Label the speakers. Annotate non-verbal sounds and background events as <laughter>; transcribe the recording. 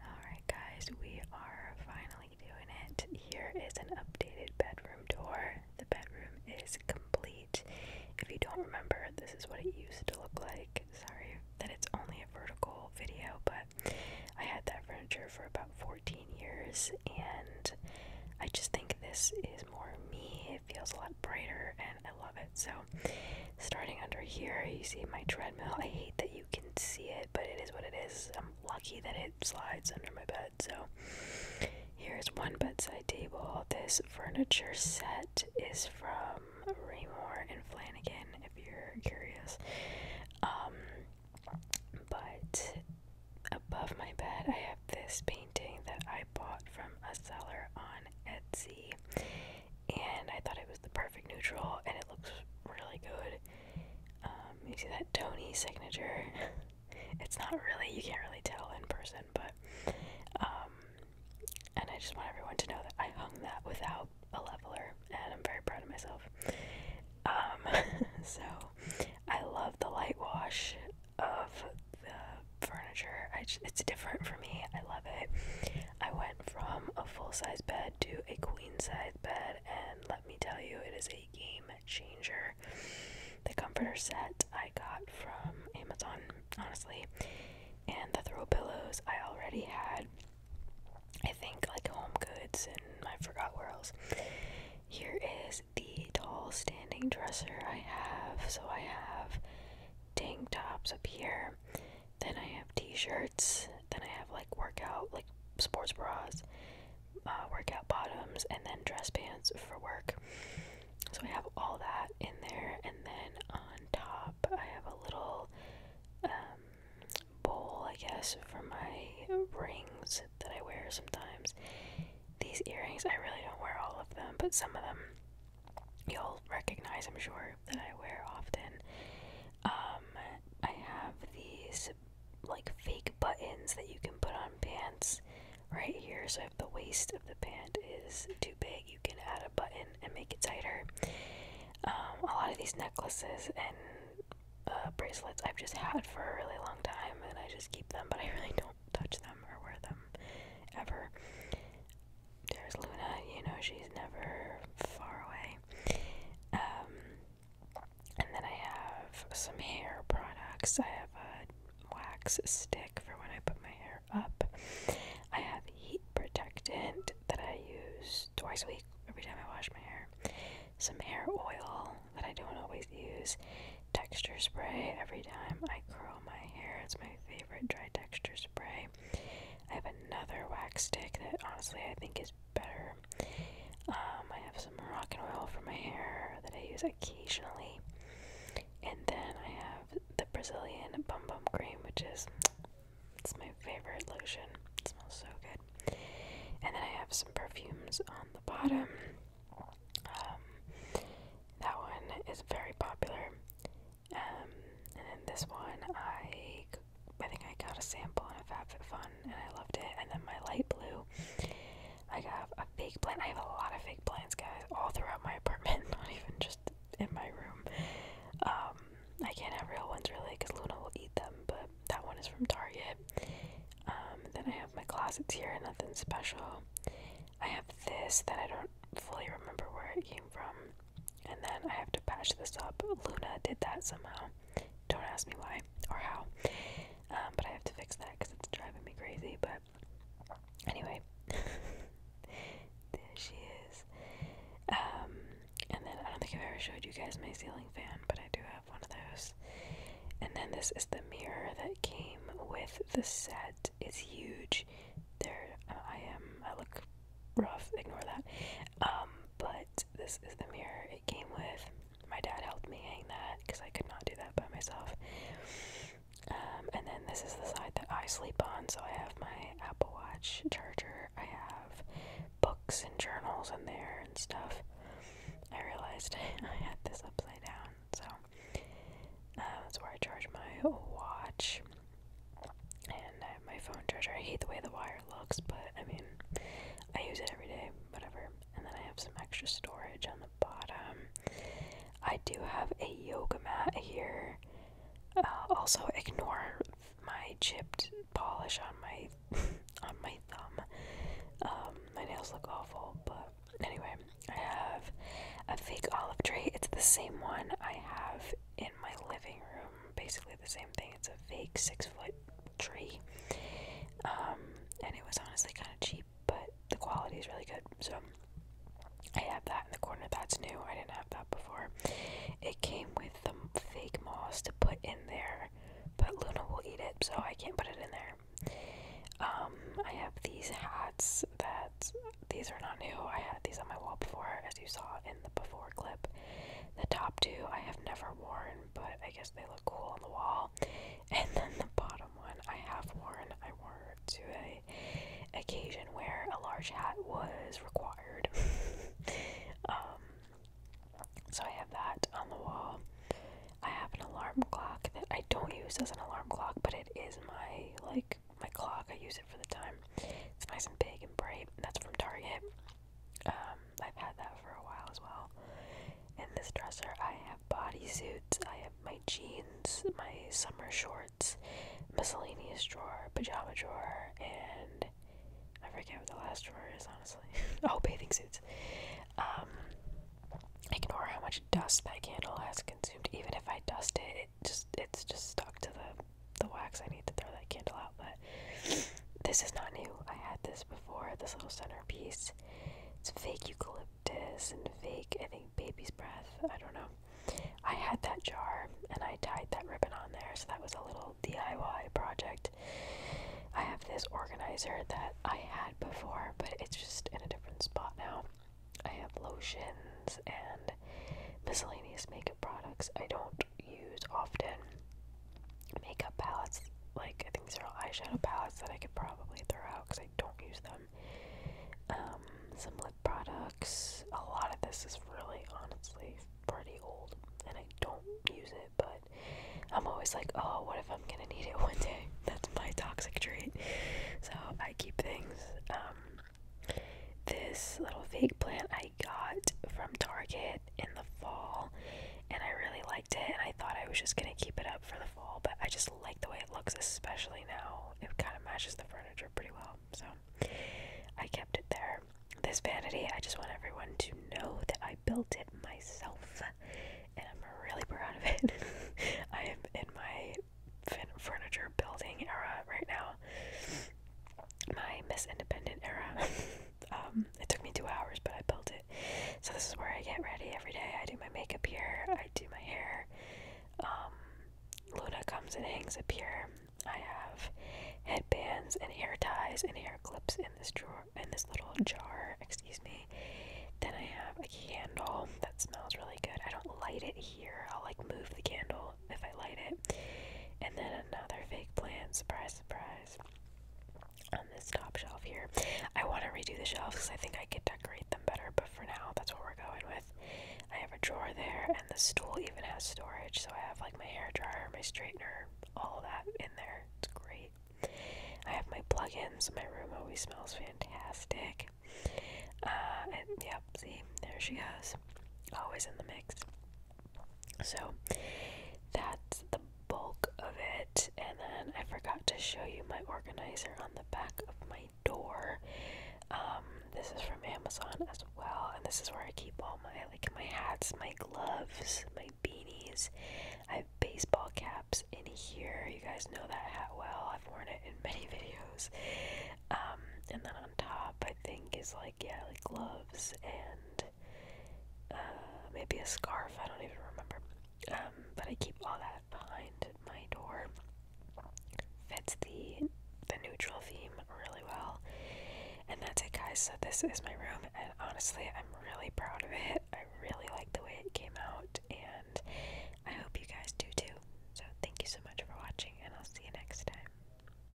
Speaker 1: Alright, guys, we are finally doing it. Here is an updated bedroom tour. The bedroom is complete. If you don't remember, this is what it used to look like. Sorry that it's only a vertical video, but I had that furniture for about 14 years, and I just think this is more me. It feels a lot brighter, and I love it. So, starting under here, you see my treadmill. I hate that you can see it, but it is what it is. I'm lucky that it slides under my bed. So here's one bedside table. This furniture set is from Raymore and Flanagan, if you're curious. Um, but above my bed, I have this painting that I bought from a seller on Etsy and I thought it was the perfect neutral, and it looks really good. Um, you see that Tony signature? <laughs> it's not really, you can't really tell in person, but, um, and I just want everyone to know that I hung that without a leveler, and I'm very proud of myself. Um, <laughs> so, I love the light wash of the furniture. I just, it's different for me. I love it. I went from a full size bed to a queen size bed, and let me tell you, it is a game changer. The comforter set I got from Amazon, honestly, and the throw pillows I already had. I think like Home Goods and I forgot where else. Here is the tall standing dresser I have. So I have tank tops up here. Then I have t-shirts. Then I have like workout, like sports bras, uh, workout bottoms, and then dress pants for work. So I have all that in there, and then on top I have a little um, bowl, I guess, for my rings that I wear sometimes. These earrings, I really don't wear all of them, but some of them you'll recognize, I'm sure, that I wear often. Um, I have these like fake buttons that you can put on pants right here. So if the waist of the pant is too big, you can add a button and make it tighter. Um, a lot of these necklaces and uh, bracelets I've just had for a really long time, and I just keep them, but I really don't touch them or wear them ever there's Luna, you know, she's never far away. Um, and then I have some hair products. I have a wax stick for when I put my hair up. I have heat protectant that I use twice a week every time I wash my hair. Some hair oil that I don't always use. Texture spray every time I curl my hair. It's my favorite dry texture spray. I have another wax stick that honestly I think is better. Um, I have some Moroccan oil for my hair that I use occasionally. And then I have the Brazilian Bum Bum Cream, which is it's my favorite lotion. It smells so good. And then I have some perfumes on the bottom. Um, that one is very popular. Um, and then this one, I, I think I got a sample on a FabFitFun, and I loved it. And then my light blue, I have a fake plant. I have a lot of fake plants, guys, all throughout my apartment, <laughs> not even just in my room. Um, I can't have real ones really, because Luna will eat them. But that one is from Target. Um, then I have my closets here, nothing special. I have this that I don't fully remember where it came from. And then I have to patch this up. Luna did that somehow. Don't ask me why or how. Um, but I have to fix that because it's driving me crazy. But anyway, <laughs> there she is. Um, and then I don't think I've ever showed you guys my ceiling fan, but I do have one of those. And then this is the mirror that came with the set. It's huge. There I am. I look rough. Ignore that. Um, but this is the mirror it came with. My dad helped me hang that because I could not do that by myself. Um, and then this is the side that I sleep on. So I have my Apple Watch charger. I have books and journals in there and stuff. I realized <laughs> I had this upside down, so um, that's where I charge my watch and I uh, my phone charger. I hate the way the wire looks, but I mean, I use it every day, whatever. And then I have some extra storage on the bottom. I do have a yoga mat here. Uh, also, ignore my chipped polish on my <laughs> on my thumb. Um, my nails look awful, but anyway, I have a fake olive tree. It's the same one I have in my living room. Basically, the same thing. It's a fake six foot tree. Um, and it was honestly kind of cheap, but the quality is really good. So I have that in the corner. That's new. I didn't have that before. It came with the fake moss to put in there, but Luna will eat it, so I can't put it in there. Um, I have these hats that these are not new. I had these on my wall before, as you saw in the before clip. The top two I have never worn, but I guess they look cool on the wall. And then the bottom one I have worn. I wore it to a occasion where a large hat was required. <laughs> um, so I have that on the wall. I have an alarm clock that I don't use as an alarm clock, but it is my like my clock. I use it for the time. It's nice and big and bright. That's from Target. Um, I've had that for a while as well. In this dresser, I have bodysuits, I have my jeans, my summer shorts, miscellaneous drawer, pajama drawer, and I forget what the last drawer is, honestly. <laughs> oh, bathing suits. Um, ignore how much dust that candle has consumed. Even if I dust it, it just it's just stuck to the the wax. I need to throw that candle out, but this is not new. I had this before, this little centerpiece. It's fake eucalyptus and fake, I think, baby's breath. I don't know. I had that jar and I tied that ribbon on there, so that was a little DIY project. I have this organizer that I had before, but it's just in a different spot now. I have lotions and miscellaneous makeup products. I don't use often. Makeup palettes, like I think these are all eyeshadow palettes that I could probably throw out because I don't use them. Um, some lip products. A lot of this is really honestly pretty old and I don't use it, but I'm always like, oh, what if I'm gonna need it <laughs> one day? That's my toxic treat. So I keep things. Um, this little fake plant got from Target in the fall and I really liked it and I thought I was just gonna keep it up for the fall, but I just like the way it looks, especially now. It kind of matches the furniture pretty well, so I kept it there. This vanity, I just want everyone to know that I built it myself and I'm really proud of it. <laughs> I am in my furniture building era right now my Miss Independent era. <laughs> Um, it took me two hours, but I built it. So this is where I get ready every day. I do my makeup here. I do my hair. Um, Luna comes and hangs up here. I have headbands and hair ties and hair clips in this drawer in this little jar. Excuse me. Then I have a candle that smells really good. I don't light it here. I'll like move the candle if I light it. And then another fake plant. Surprise, surprise. On this top shelf here. I want to redo the shelves because I think I could decorate them better, but for now, that's what we're going with. I have a drawer there, and the stool even has storage, so I have like my hair dryer, my straightener, all that in there. It's great. I have my plugins. My room always smells fantastic. Uh, yep, see, there she goes. Always in the mix. So that's the bulk of it. And then I forgot to show you my organizer on the back of my door. Um, this is from Amazon as well, and this is where I keep all my like my hats, my gloves, my beanies. I have baseball caps in here. You guys know that hat well. I've worn it in many <laughs> videos. Um, and then on top, I think is like like yeah, like gloves and uh, maybe a scarf. I don't even remember. Um, but I keep all that behind my door. Fits the the neutral theme really well. And that's it, guys. So this is my room, and honestly, I'm really proud of it. I really like the way it came out, and I hope you guys do too. So thank you so much for watching, and I'll see you next time.